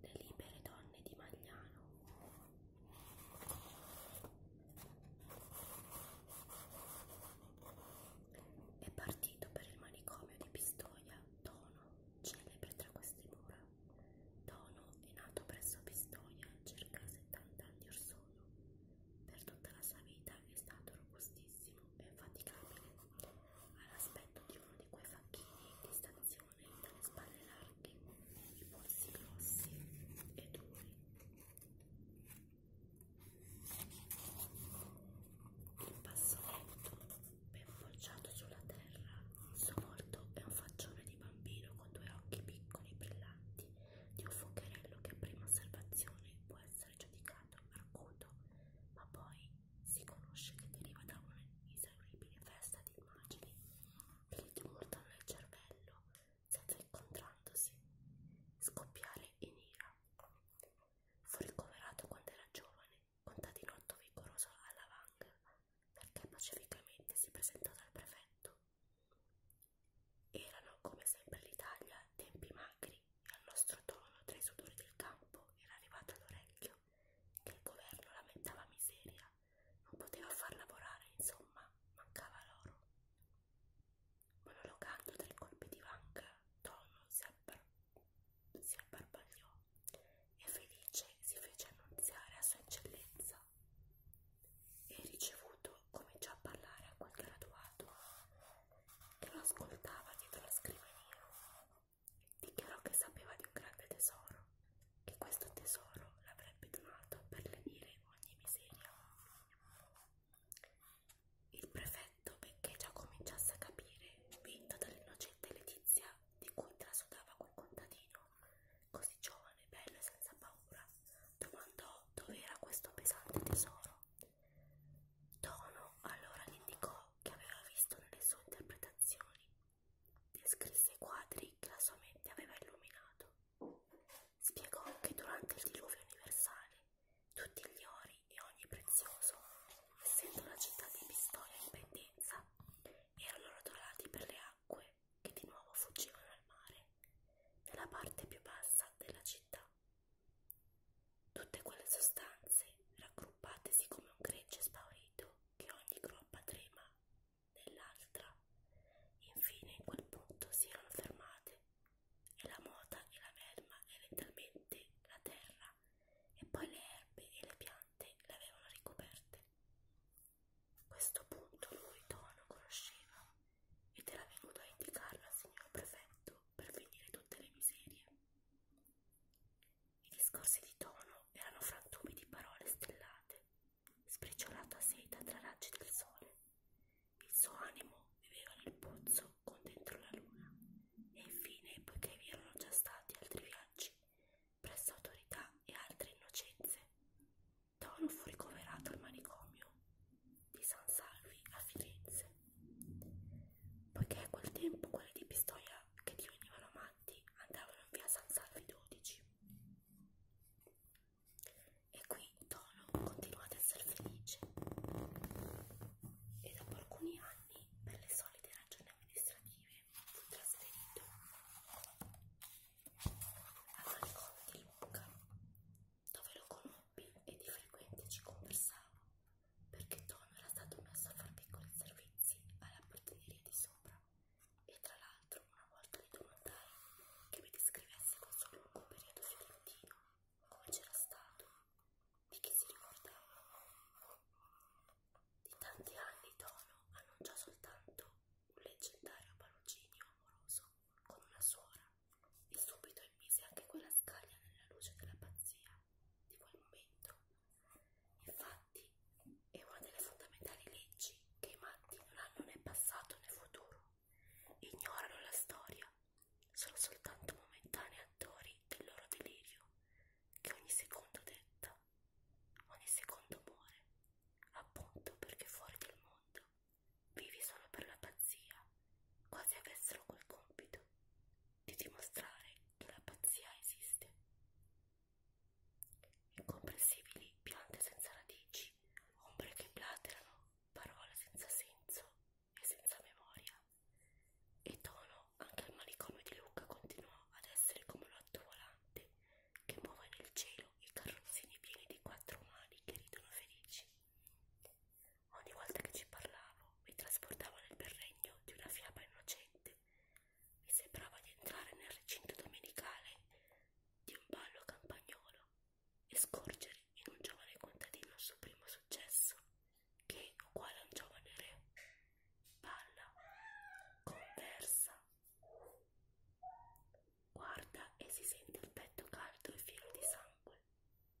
Le libere donne di Magliano. È partito per il manicomio di Pistoia Dono, celebre tra queste mura. Dono è nato presso Pistoia circa 70 anni or sono. Per tutta la sua vita è stato robustissimo e infaticabile, all'aspetto di uno di quei facchini di stazione dalle spalle larghe, i polsi grossi e duri. Il passo lento, ben forciato sulla terra, il suo volto è un faccione di bambino con due occhi piccoli brillanti di un focherello che a prima osservazione può essere giudicato arguto, ma poi si conosce che deriva da un'inesauribile festa di immagini che gli tumultano il cervello senza incontrandosi, scoppiare in ira. Fu ricoverato quando era giovane, contadinotto vigoroso alla vanga, perché pacificamente si presentò dal prefetto. Erano, come sempre l'Italia, tempi magri alberi e al nostro tono tra i sudori del campo era arrivata all'orecchio che il governo lamentava miseria, non poteva far lavorare, insomma, mancava l'oro. Monologando tra i colpi di banca, Tono si, abbar si abbarbagliò e felice si fece annunziare a sua eccellenza e ricevuto cominciò a parlare a quel graduato che lo ascoltava dietro la scrivania Dichiarò che sapeva di un grande tesoro, che questo tesoro l'avrebbe donato per lenire ogni miseria. Il prefetto, benché già cominciasse a capire, vinto dall'innocente Letizia di cui trasudava quel contadino, così giovane, bello e senza paura, domandò dove era questo pesante tesoro Tono allora indicò che aveva visto nelle sue interpretazioni, descrisse i quadri che la sua mente aveva illuminato, spiegò che durante il diluvio universale tutti gli ori e ogni prezioso, essendo la città di Pistoia in pendenza, erano rotolati per le acque che di nuovo fuggivano al mare, nella parte più bassa della città. Tutte quelle sostanze, raggruppatesi come un gregge spaurito, che ogni groppa trema nell'altra, infine in quel punto si erano fermate, e la mota e la melma e lentamente la terra, e poi le erbe e le piante l'avevano ricoperte. Questo punto lui Tono conosceva ed era venuto a indicarlo al signor prefetto per finire tutte le miserie. I discorsi di tono erano frantumi di parole stellate, spreciolata seta tra raggi del sole. Il suo animo viveva nel pozzo con dentro la luna. E infine, poiché vi erano già stati altri viaggi, presso autorità e altre innocenze, Tono fu ricoverato al manicomio di San Salvi a Firenze. Poiché a quel tempo quelli di Pistoia che divenivano amanti andavano in via San Salvi 12. E qui Tono continuò ad essere felice e dopo alcuni anni, per le solite ragioni amministrative, fu trasferito a Manicomio di Lucca, dove lo conobbi e di frequente ci conversavo perché Tom era stato messo a far piccoli servizi alla portineria di sopra e tra l'altro una volta gli domandai che mi descrivesse quel suo lungo periodo fiorentino, come c'era stato, di chi si ricordava. Di tanti anni Tono annunciò soltanto un leggendario paluginio amoroso con una suora e subito immise anche quella scaglia nella luce della pazzia di quel momento. Infatti è una delle fondamentali leggi che i matti non hanno né passato né futuro, ignorano la storia, sono soltanto momentanei attori del loro delirio, che ogni secondo detta, ogni secondo muore, appunto perché fuori dal mondo vivi solo per la pazzia, quasi avessero quel compito di dimostrare che la pazzia esiste. Incomprensibili piante senza radici, ombre che blaterano, parole senza senso e senza memoria. E Tono, anche il manicomio di Luca, continuò ad essere come un otto volante che muove nel cielo i carrozzini pieni di quattro umani che ridono felici. Ogni volta che ci parlavo mi trasportava nel berregno di una fiaba innocente. Mi sembrava di entrare nel recinto domenicale di un ballo campagnolo e scorgere in un giovane contadino il suo primo successo, che, uguale a un giovane re, parla, conversa, guarda e si sente il petto caldo e fieno di sangue.